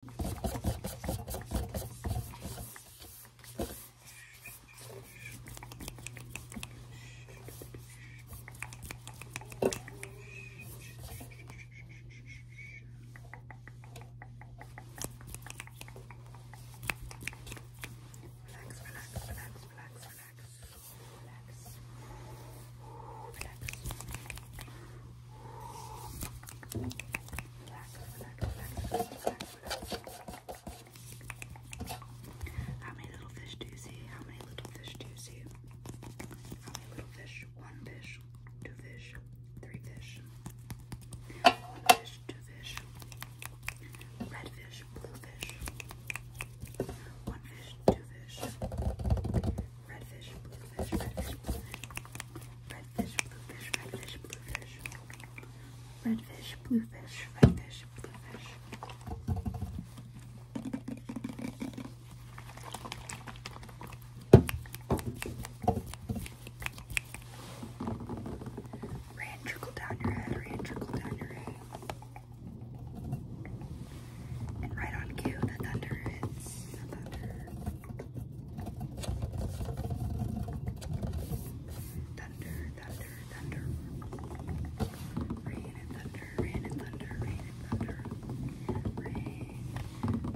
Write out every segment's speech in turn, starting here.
Relax, relax, relax, relax, relax, relax. Ooh, relax. Relax, relax, relax, relax, relax. How many little fish do you see? How many little fish do you see? How many little fish? One fish, two fish, three fish. One fish, two fish. Red fish, blue fish. One fish, two fish redfish, bluefish, redfish, bluefish, redfish, bluefish, redfish, bluefish, redfish, bluefish, redfish, bluefish. Rain trickle down your head, rain trickle down your head. And right on cue, the thunder hits. The thunder. Thunder, thunder, thunder. Rain and thunder, rain and thunder, rain and thunder. Rain,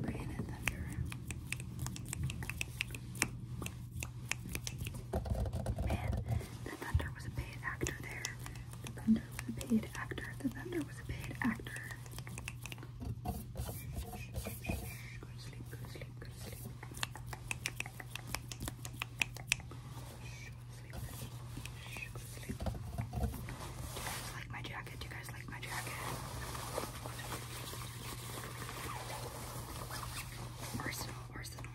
rain and thunder. Man, the thunder was a paid actor there. The thunder was a paid actor. The thunder was a paid actor. Go to sleep, go to sleep, go to sleep. Go to sleep. Go to sleep. Do you guys like my jacket? Do you guys like my jacket? Arsenal, Arsenal.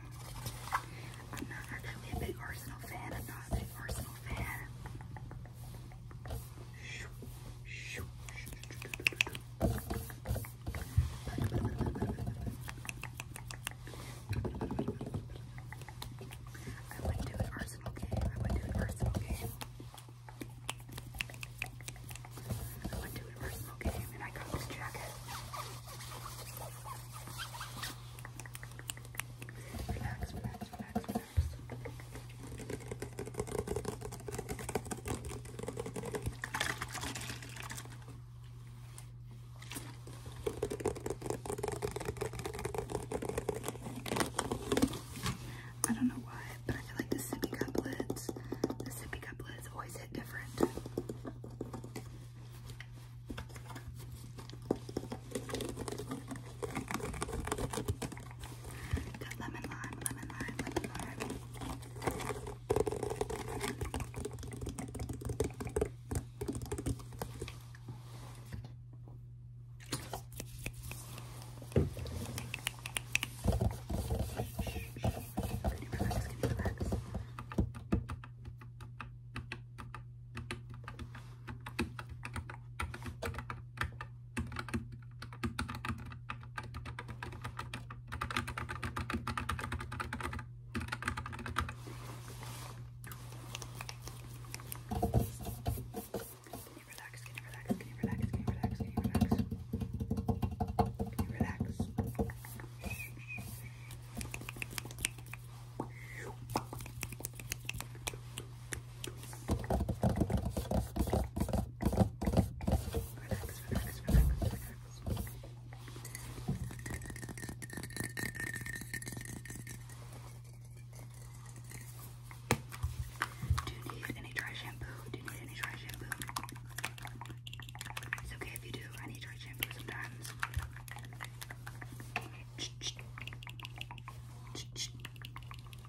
I'm not actually a big Arsenal fan. I'm not a big Arsenal fan. I went to an arsenal game. I went to an arsenal game. I went to an arsenal game and I got this jacket. Relax, relax, relax, relax. I don't know why, but I feel like the sippy couplets, the sippy couplets always hit different. Got lemon lime, lemon lime, lemon lime. Can you relax? Can you relax? Okay, can you relax? Can you relax? Can you relax? Can you relax? Can you relax? Can you relax? Shh, shh. Relax, relax, relax, relax. Do you need any dry shampoo? Do you need any dry shampoo? It's okay if you do. I need dry shampoo sometimes. Ch -ch -ch. Ch -ch.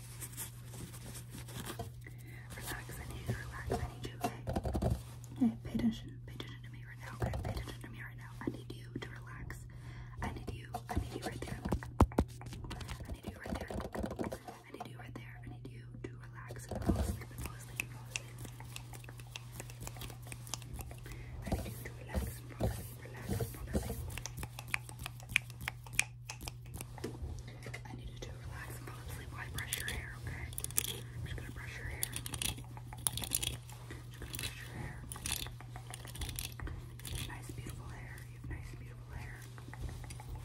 Relax, I need you to relax. I need you, okay? Hey, pay attention. Pay attention to me right now, okay? Pay attention to me right now. I need you to relax. I need you. I need you right there. I need you right there. I need you right there. I need you to relax and fall asleep and fall asleep and fall asleep. I need you to relax and fall asleep, relax and fall asleep. I need you to relax and fall asleep while I brush your hair, okay? I'm just gonna brush your hair. Just gonna brush your hair. You have nice, beautiful hair. You have nice, beautiful hair.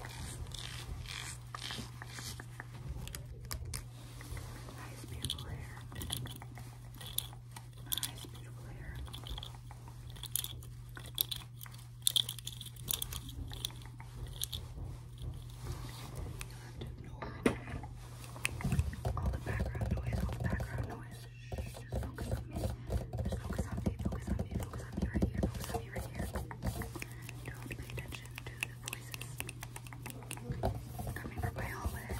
Nice, beautiful hair. Nice, beautiful hair. You have to ignore all the background noise, all the background noise. Shh, just focus on me. Just focus on me, focus on me, focus on me right here, focus on me right here. Don't pay attention to the voices coming from my hallway.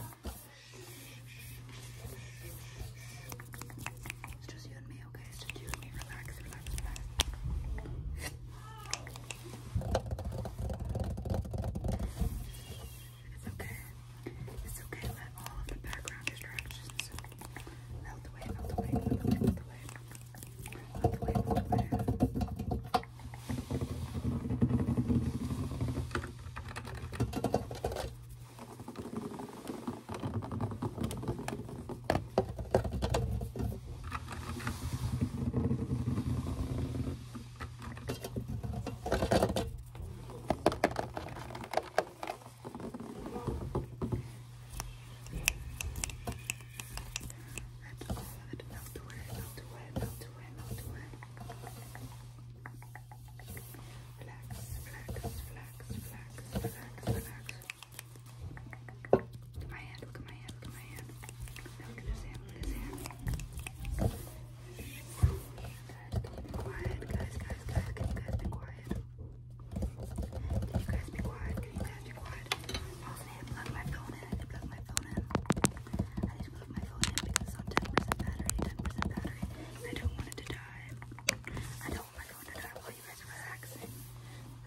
It's just you and me me, okay? Just use me. Relax, relax, relax. It's okay. It's okay. Let all of the background distractions melt away, melt away, melt away, melt away. Melt away, melt away. Melt away. Let all of it melt away, melt away, melt away, melt away. Relax, relax, relax, relax, relax, relax. Look at my hand, look at my hand, look at my hand. look at this hand, look at this hand. quiet? Guys, guys, guys, can guys be quiet? you guys be quiet? you guys be quiet? I also need to plug my phone in. I need to plug my phone in. I need to plug my phone in because it's on 10% battery, 10% battery. I don't want it to die. I don't want my phone to die you guys are relaxing.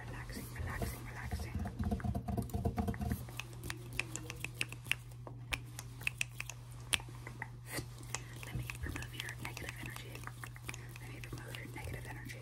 Relaxing, relaxing, relaxing. Let me remove your negative energy. Let me remove your negative energy.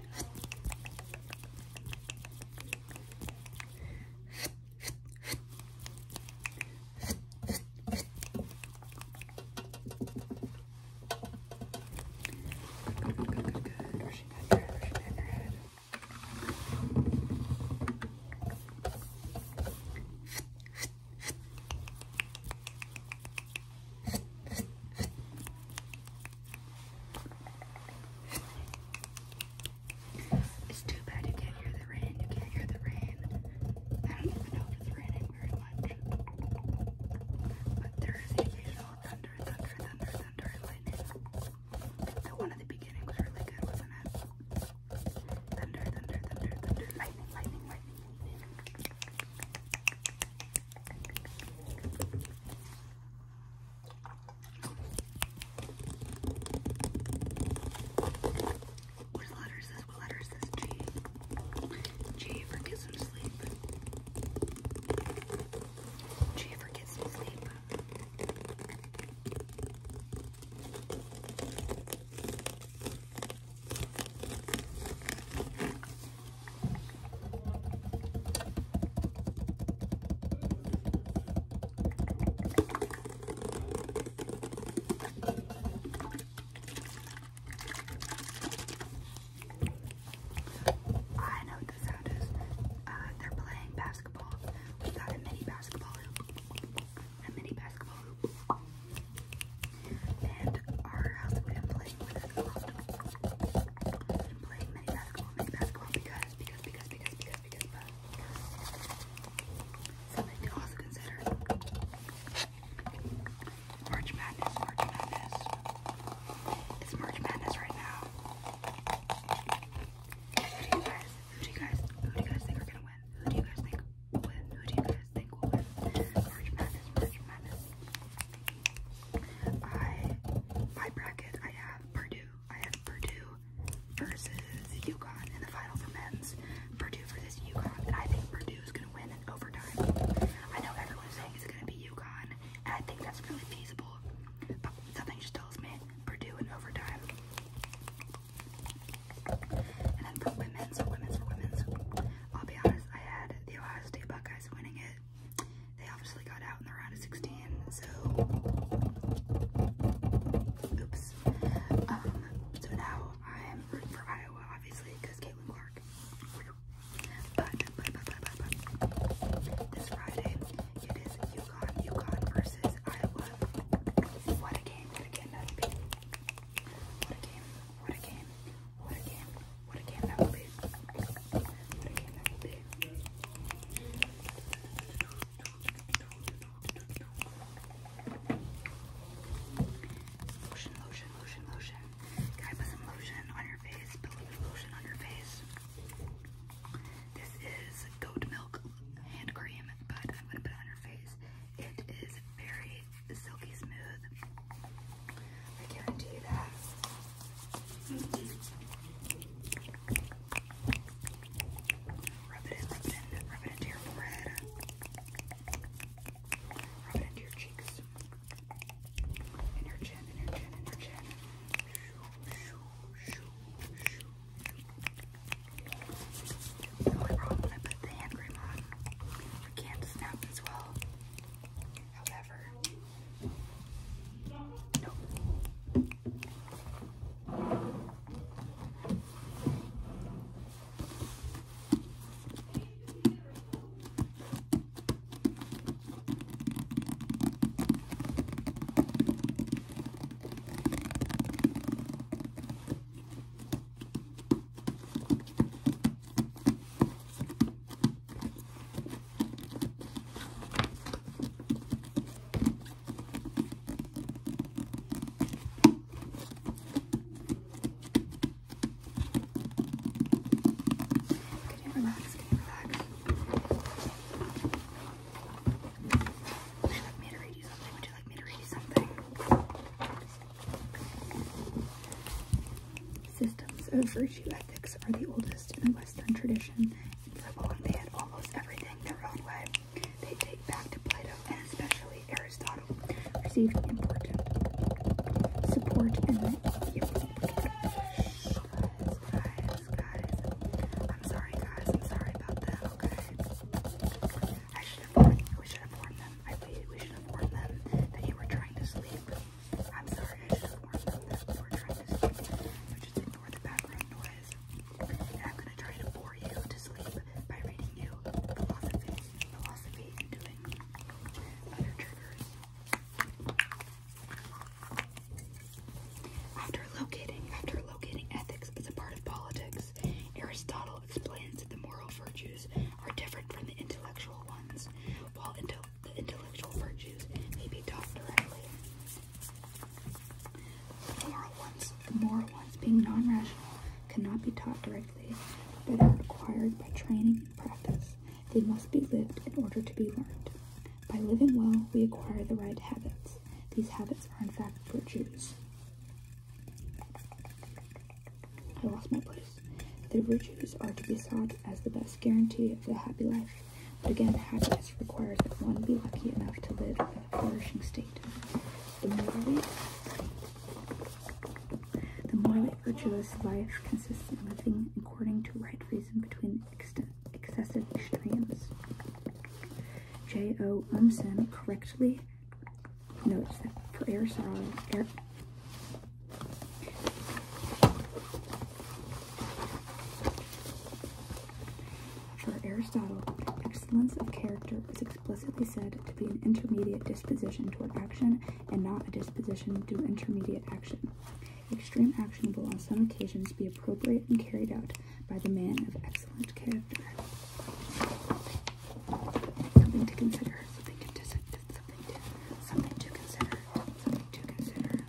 Good, good, good, good, good. Rushing down your head, rushing down your head. It's too bad you can't hear the rain. You can't hear the rain. I don't even know if it's raining very much. But there is occasional thunder, thunder, thunder, thunder, and lightning. The one at the beginning was really good, wasn't it? Thunder, thunder, thunder, thunder, lightning, lightning, lightning, lightning. What letter is this? What letter is this? G. G for kiss and sleep. G for kiss and sleep. I know what the sound is. Uh, they're playing basketball. We got a mini basketball hoop. A mini basketball hoop. And our house would have playing with it i playing mini basketball, mini basketball because, because, because, because, because, because, because, Something to also consider. March Madness, March Madness. It's March Madness right now. Who do you guys, who do you guys, who do you guys think are gonna win? Who do you guys think Who do you guys think will win? March Madness, March Madness. I my bracket I have Purdue. I have Purdue versus Yukon in the final for men's. Purdue for this Yukon. And I think Purdue is gonna win in overtime. I know everyone's saying it's gonna be Yukon, and I think that's really feasible. But something just tells me Purdue in overtime. And then for women's, women's for women's. I'll be honest, I had the Ohio State Buckeyes winning it they obviously got out in the round of 16, so oops. Um, so now I'm rooting for Iowa, obviously, because Caitlin Clark. But, this Friday, it is UConn, UConn versus Iowa. What a game, What a game, what a game, what a game, what a game that would be. Lotion, lotion, lotion, lotion. Can I put some lotion on your face? Put a lotion on your face. This is goat milk hand cream, but I'm gonna put on your face. It is very silky smooth. I guarantee you that. Rub it in, rub it in, rub it into your forehead. Rub it into your cheeks. And your chin, and your chin, and your chin. Shoo, shoo, shoo, shoo. The put the hand cream on, you can't snap as well. However, can you relax? Can you relax? Would you like me to read you something? Would you like me to read you something? Systems of virtue ethics are the oldest in the Western tradition, and for they had almost everything their own way. They date back to Plato and especially Aristotle, received important support in I'm sorry guys, I'm sorry about that, okay? I should have warned we should have warned them. I waited, we should have warned them that you were trying to sleep. I'm sorry, I should have warned you that we were trying to sleep. I'm gonna try to bore you to sleep by reading you philosophy, After locating, after locating ethics as a part of politics, Aristotle explains that the moral virtues are different from the intellectual ones. While, intel the intellectual virtues may be taught directly. The moral ones, the moral ones being non-rational, cannot be taught directly, but are acquired by training and practice. They must be lived in order to be learned. By living well, we acquire the right habits. These habits are in fact virtues. I lost my place. The virtues are to be sought as the best guarantee of a happy life, but again, happiness requires that one be lucky enough to live in a flourishing state. The morally, virtuous life consists in living according to right reason between excessive extremes. J. O. Umsen correctly notes that for air for Aristotle, excellence of character is explicitly said to be an intermediate disposition toward action and not a disposition to intermediate action. Extreme action will on some occasions be appropriate and carried out by the man of excellent character. Something to consider, something to something to consider. Something to consider.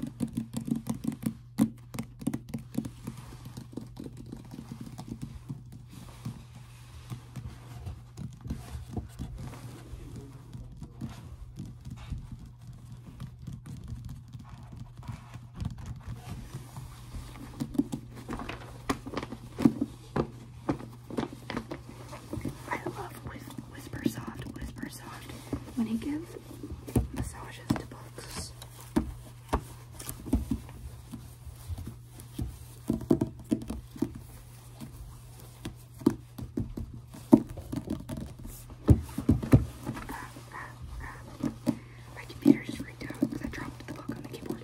I love with Whisper Soft, Whisper Soft. When he gives massages to books, my computer just freaked out because I dropped the book on the keyboard.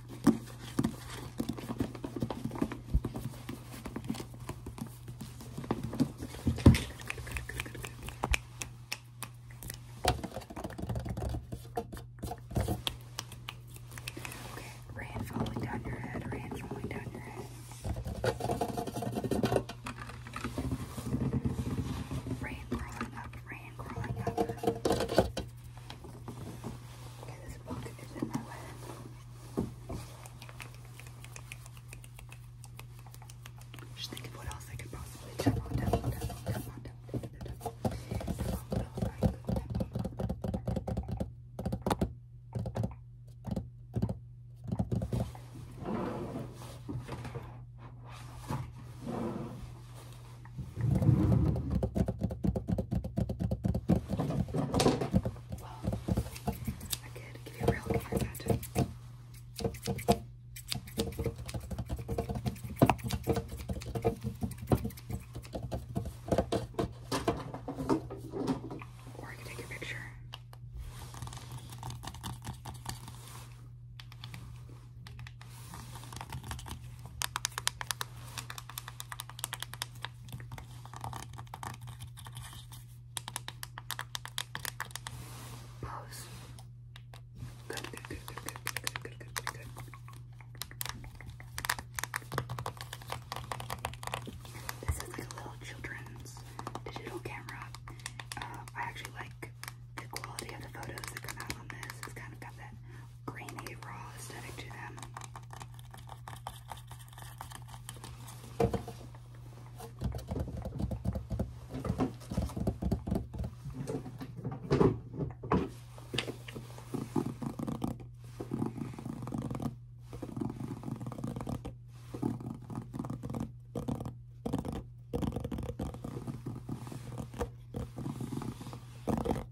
Okay, rain falling down your head, rain falling down your head. Rain crawling up, rain crawling up. Okay, this pocket is in my way. Just think what else I could possibly tap well, I could give you a real camera tattoo. Or I could take a picture. Pose. Good, good, good, good, good, good, good, good, This is like a little children's digital camera. Uh, I actually like the quality of the photos that come out on this. It's kind of got that grainy raw aesthetic to them.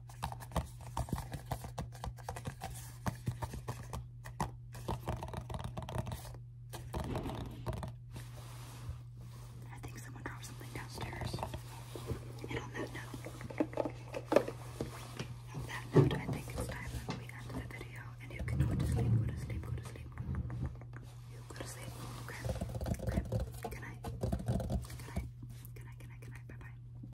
I think someone dropped something downstairs. And on that note, on that note, I think it's time that we end the video. And you can go to sleep, go to sleep, go to sleep. You go to sleep, okay? Okay. Good night. Good night. Good Bye bye.